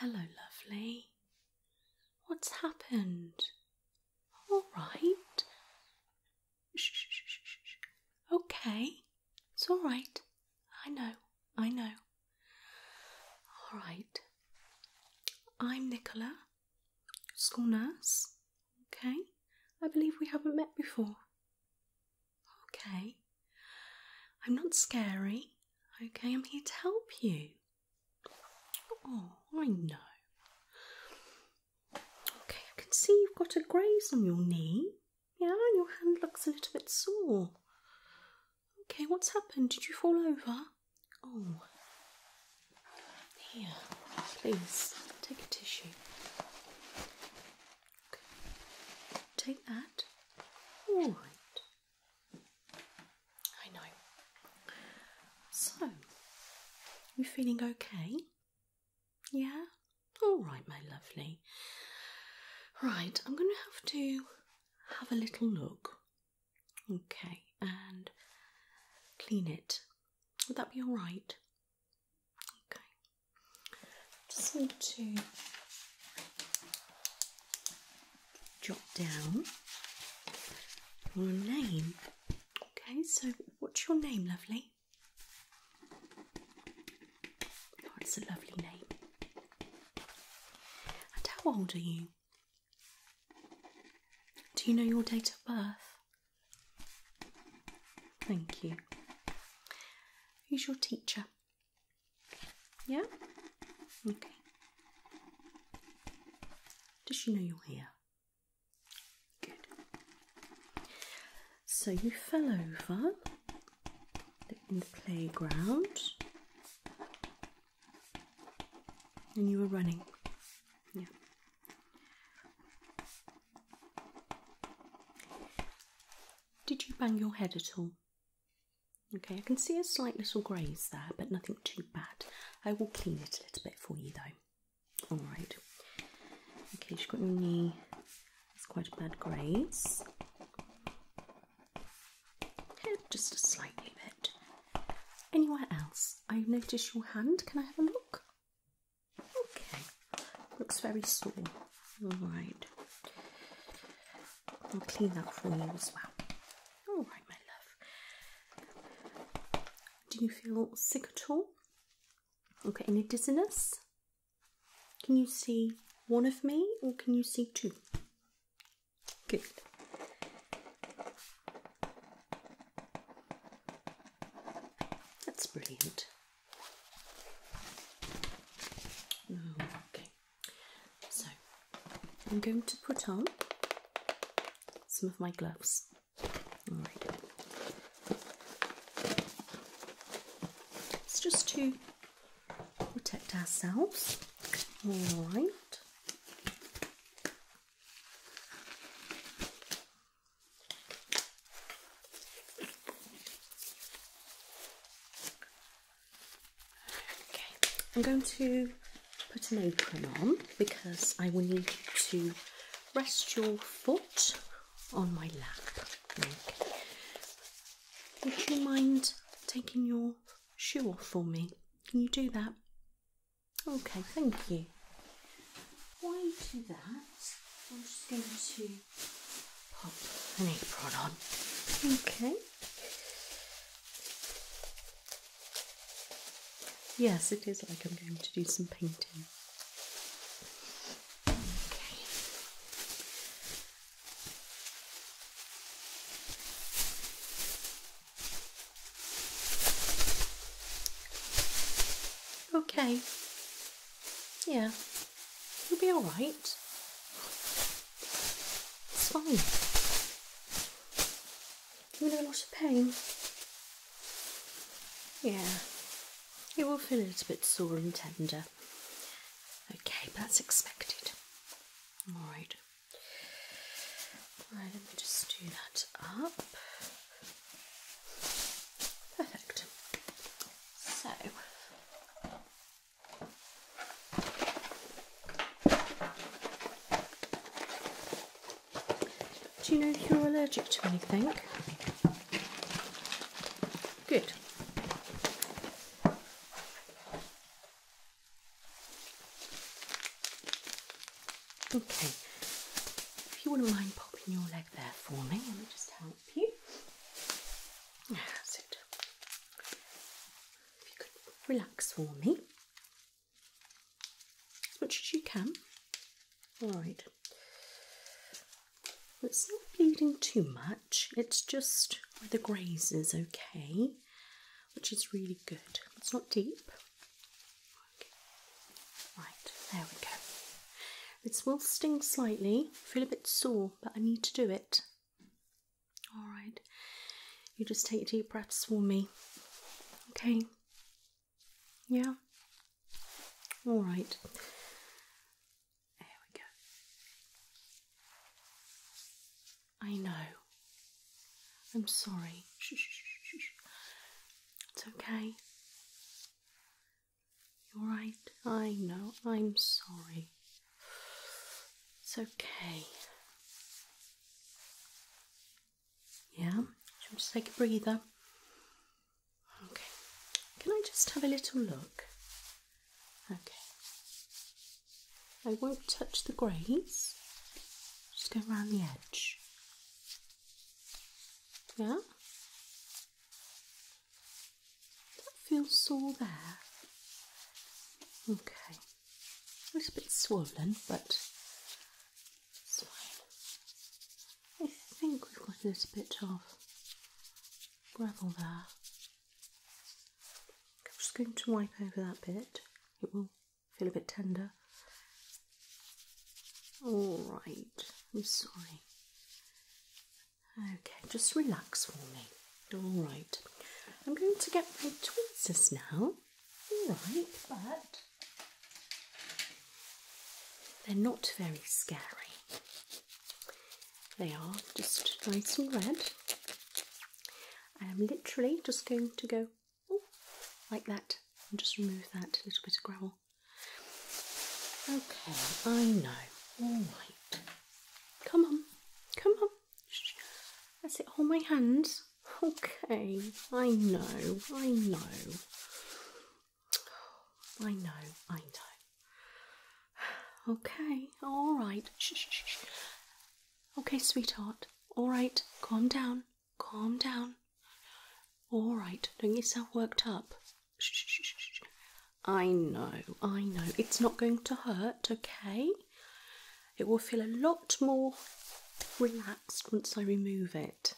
Hello, lovely. What's happened? All right. Shh, shh, shh, shh. Okay, it's all right. I know, I know. All right. I'm Nicola, school nurse. Okay. I believe we haven't met before. Okay. I'm not scary. Okay, I'm here to help you. Oh, I know. Okay, I can see you've got a graze on your knee. Yeah, and your hand looks a little bit sore. Okay, what's happened? Did you fall over? Oh. Here, please take a tissue. Okay. Take that. All right. I know. So, you feeling okay? Yeah? All right, my lovely. Right, I'm going to have to have a little look. Okay, and clean it. Would that be all right? Okay. Just need to jot down your name. Okay, so what's your name, lovely? Oh, it's a lovely name. And how old are you? Do you know your date of birth? Thank you. Who's your teacher? Yeah? Okay. Does she know you're here? Good. So you fell over in the playground and you were running. Yeah. Did you bang your head at all? Okay, I can see a slight little graze there, but nothing too bad. I will clean it a little bit for you though. Alright. Okay, she's got your knee. It's quite a bad graze just a slightly bit. Anywhere else? I notice your hand. Can I have a look? Okay, looks very sore. All right, I'll clean that for you as well. All right, my love. Do you feel sick at all? Okay, any dizziness? Can you see one of me or can you see two? Good. That's brilliant. Okay, so I'm going to put on some of my gloves. It's just to protect ourselves. All right. Okay, I'm going to put an apron on because I will need you to rest your foot on my lap. Would you mind taking your Sure for me? Can you do that? Okay, thank you. Why do that, I'm just going to pop an apron on. Okay. Yes, it is like I'm going to do some painting. Okay. Okay. Yeah. You'll be alright. It's fine. You're in a lot of pain. Yeah. It will feel a little bit sore and tender. Okay, that's expected. Alright. Right, let me just do that up. Perfect. So do you know if you're allergic to anything? Good. Okay, if you wouldn't mind popping your leg there for me, let me just help you. That's it. If you could relax for me as much as you can. All right. It's not bleeding too much it's just where the graze is okay, which is really good. It's not deep. Okay. Right, there we go. This will sting slightly, feel a bit sore, but I need to do it. Alright, you just take deep breaths for me. Okay. Yeah. Alright. There we go. I know. I'm sorry. it's okay. You're right. I know. I'm sorry. It's okay. Yeah, just take a breather. Okay. Can I just have a little look? Okay. I won't touch the greys. Just go around the edge. Yeah? That feels all there. Okay. A little bit swollen, but it's fine. I think we've got a little bit of gravel there. I'm just going to wipe over that bit, it will feel a bit tender. Alright, I'm sorry. Okay, just relax for me. Alright, I'm going to get my tweezers now. Alright, but they're not very scary. They are just nice and red. I'm literally just going to go like that and just remove that little bit of gravel. Okay, I know. All right. Come on. Come on. That's it. Hold my hands. Okay. I know. I know. I know. I know. Okay. All right. Okay, sweetheart. All right, calm down. Calm down. All right, don't get yourself worked up. Shh, shh, shh, I know, I know. It's not going to hurt, okay? It will feel a lot more relaxed once I remove it.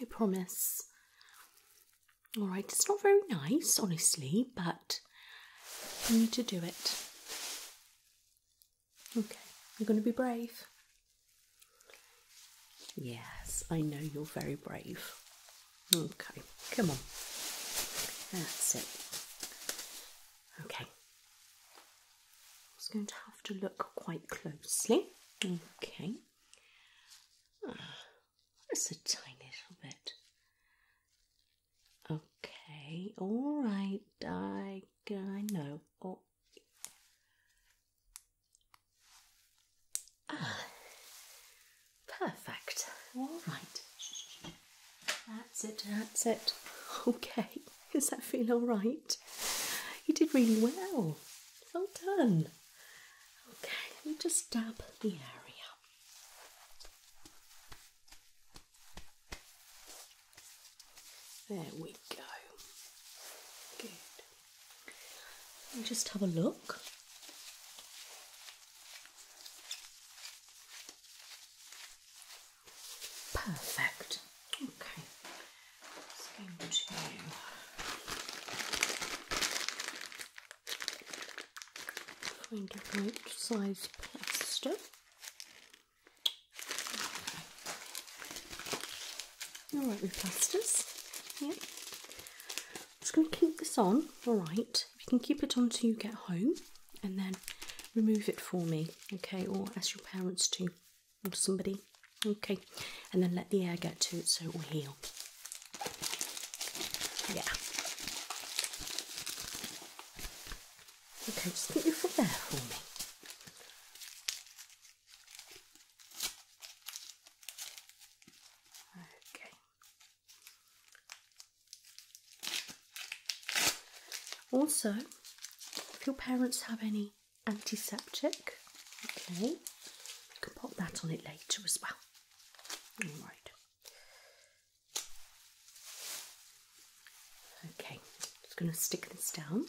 I promise. All right, it's not very nice, honestly, but you need to do it. Okay, you're going to be brave. Yes, I know you're very brave. Okay, come on. That's it. Okay. I'm going to have to look quite closely. Okay. Ah, that's a tiny little bit. Okay, all right, I, I know. Oh. Ah, perfect. All right. That's it, that's it. Okay, does that feel all right? You did really well. Well done. Okay, let me just dab the area. There we go. Good. just have a look. Perfect. Okay. going to right size plaster. Alright, with plasters. Yeah. Just going to keep this on, alright. You can keep it on till you get home and then remove it for me, okay, or ask your parents to, or somebody, okay, and then let the air get to it so it will heal. Yeah. Okay, just put your foot there for me. Okay. Also, if your parents have any antiseptic, okay, you can put that on it later as well. All right. Okay, just going to stick this down.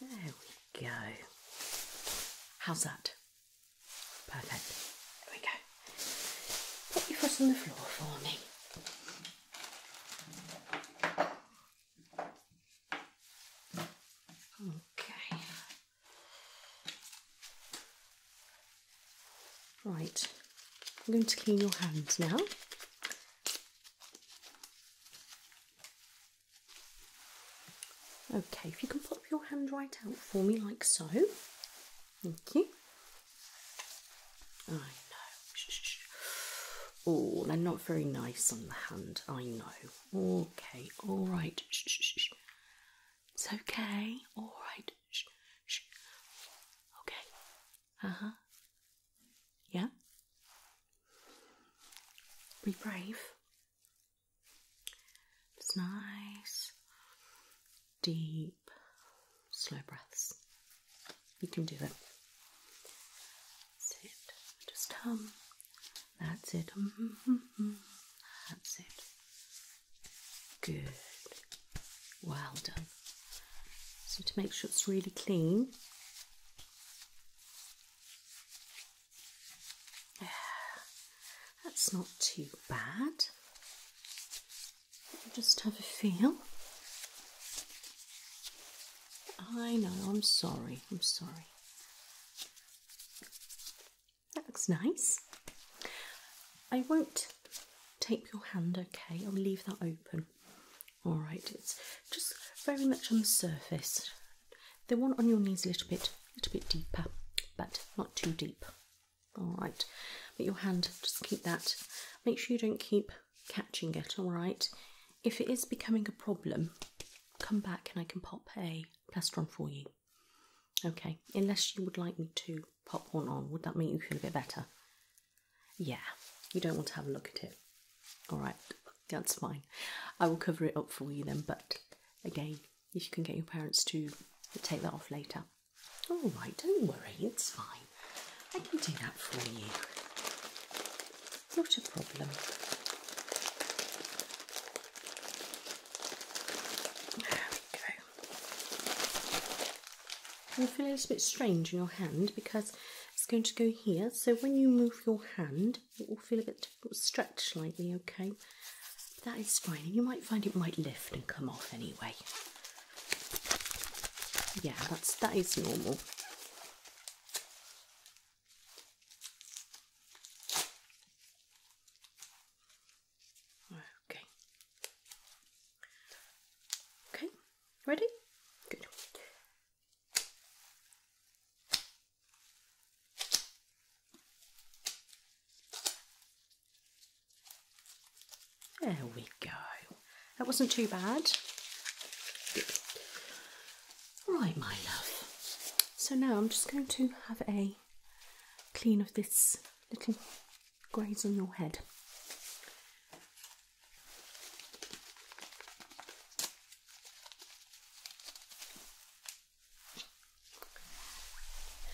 There we go. How's that? Perfect. There we go. Put your foot on the floor for me. Okay, Right, I'm going to clean your hands now. Okay, if you can pop your hand right out for me like so. Thank you. I know. Oh, they're not very nice on the hand. I know. Okay, all right. It's okay. All right. Shh. Shh. Okay. Uh huh. Yeah. Be brave. It's nice, deep, slow breaths. You can do it. That's it. Just hum. That's it. Mm-hmm, mm-hmm. That's it. Good. Well done. So to make sure it's really clean. That's not too bad. Just have a feel. I know, I'm sorry, I'm sorry. That looks nice. I won't tape your hand, okay? I'll leave that open. All right, it's just very much on the surface. The one on your knee's a little bit, a little bit deeper, but not too deep. All right, but your hand, just keep that. Make sure you don't keep catching it. All right. If it is becoming a problem, come back and I can pop a plaster on for you. Okay, unless you would like me to pop one on, would that make you feel a bit better? Yeah, you don't want to have a look at it. Alright, that's fine. I will cover it up for you then, but again, if you can get your parents to take that off later. Alright, don't worry, it's fine. I can do that for you. Not a problem. You'll feel a little bit strange in your hand because it's going to go here. So when you move your hand, it will feel a bit stretched slightly, okay? That is fine. you might find it might lift and come off anyway. Yeah, that's that is normal. Okay. Okay, ready? Good. There we go. That wasn't too bad. Right, my love. So now I'm just going to have a clean of this little graze on your head.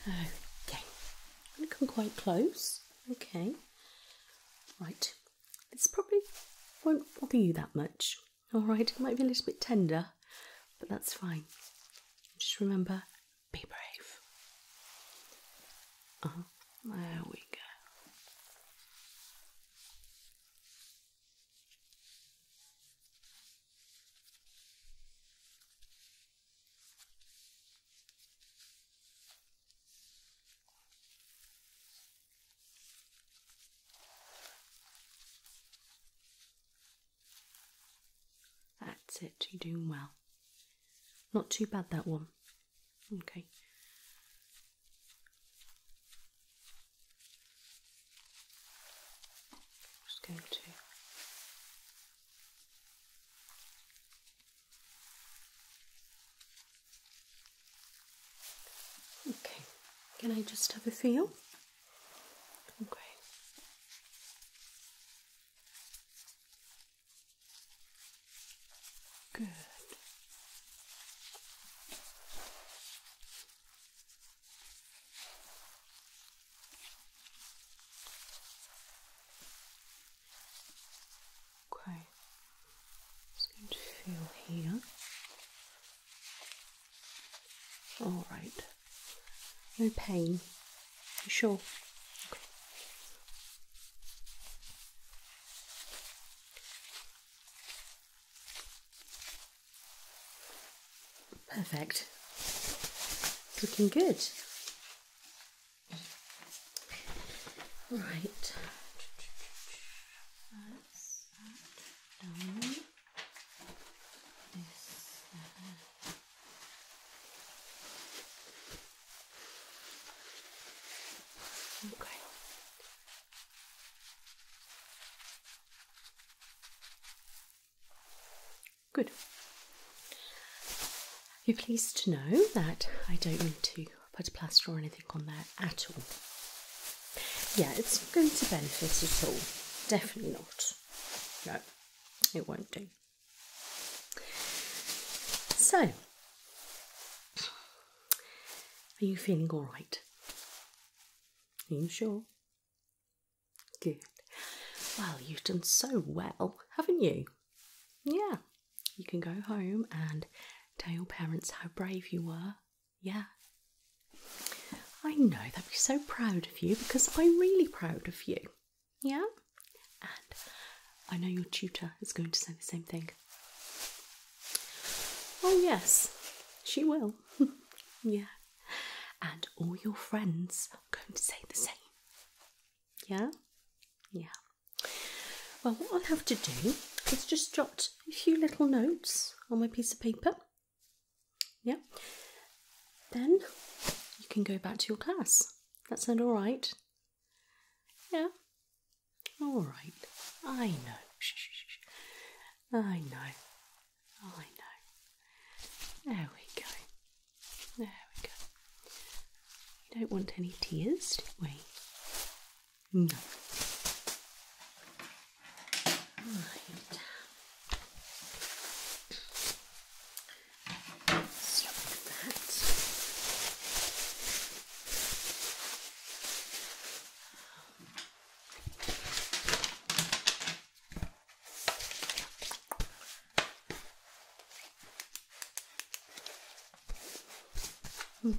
Okay, I'm going to come quite close. Okay, right. This probably won't bother you that much. All right, it might be a little bit tender, but that's fine. Just remember be brave. Uh-huh. there we go. That's it, you're doing well. Not too bad, that one. Okay. just going to. Okay, can I just have a feel? Okay. Good. Okay. Just going to feel here. All right. No pain. sure? Perfect. It's looking good. Right. Okay. Good. You're pleased to know that I don't mean to put plaster or anything on there at all. Yeah, it's not going to benefit at all. Definitely not. No, it won't do. So, are you feeling all right? Are you sure? Good. Well, you've done so well, haven't you? Yeah. You can go home and tell your parents how brave you were. Yeah. I know they'll be so proud of you because I'm really proud of you. Yeah? And I know your tutor is going to say the same thing. Oh, yes, she will. yeah. And all your friends are going to say the same. Yeah? Yeah. Well, what I'll have to do is just jot a few little notes on my piece of paper. Yeah. Then you can go back to your class. That sound all right? Yeah. All right. I know. I know. I know. There we go. There we go. We don't want any tears, do we? No. Right. Let's look at that.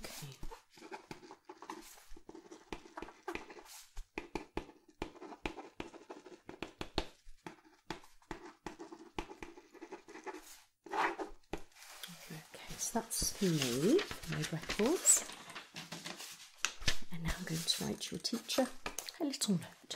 Okay. Okay, so that's me, Made records. And now I'm going to write your teacher a little note.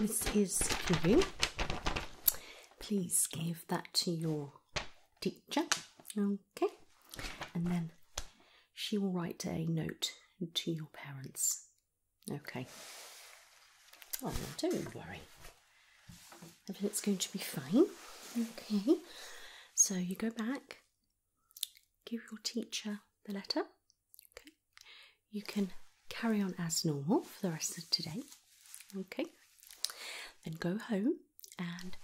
This is for you. Please give that to your teacher. Okay. And then she will write a note to your parents. Okay. Oh, don't worry. It's going to be fine. Okay, so you go back, give your teacher the letter. Okay, you can carry on as normal for the rest of today. Okay, then go home and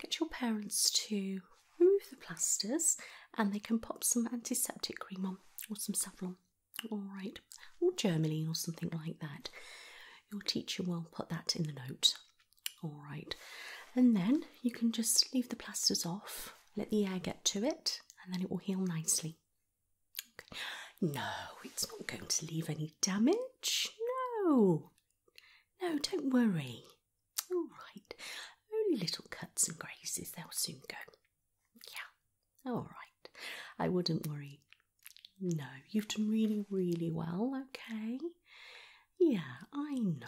get your parents to remove the plasters and they can pop some antiseptic cream on or some salve on, All right, or Germany or something like that your teacher will put that in the note. All right, and then you can just leave the plasters off, let the air get to it, and then it will heal nicely. No, it's not going to leave any damage. No, no, don't worry. All right, only little cuts and grazes, they'll soon go. Yeah, all right, I wouldn't worry no, you've done really, really well, okay? Yeah, I know.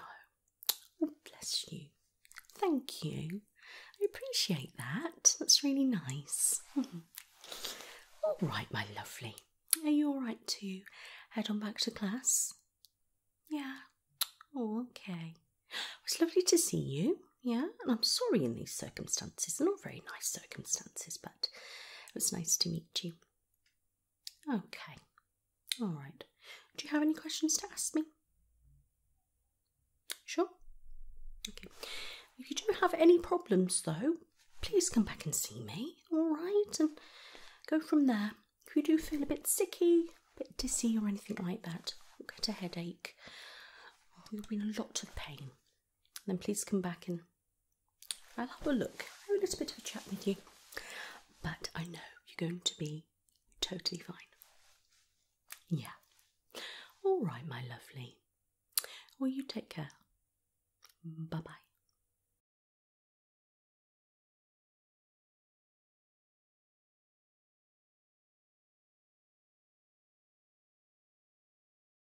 Oh, bless you. Thank you. I appreciate that. That's really nice. Hmm. all right, my lovely. Are you all right to head on back to class? Yeah. Oh, okay. It's lovely to see you. Yeah, and I'm sorry in these circumstances. not very nice circumstances, but it was nice to meet you. Okay. All right. Do you have any questions to ask me? Sure. Okay. If you do have any problems though, please come back and see me, all right? And go from there. If you do feel a bit sicky, a bit dizzy or anything like that, get a headache, or you'll be a lot of pain, then please come back and I'll have a look, have a little bit of a chat with you, but I know you're going to be totally fine. Yeah. All right, my lovely. Will you take care. Bye bye.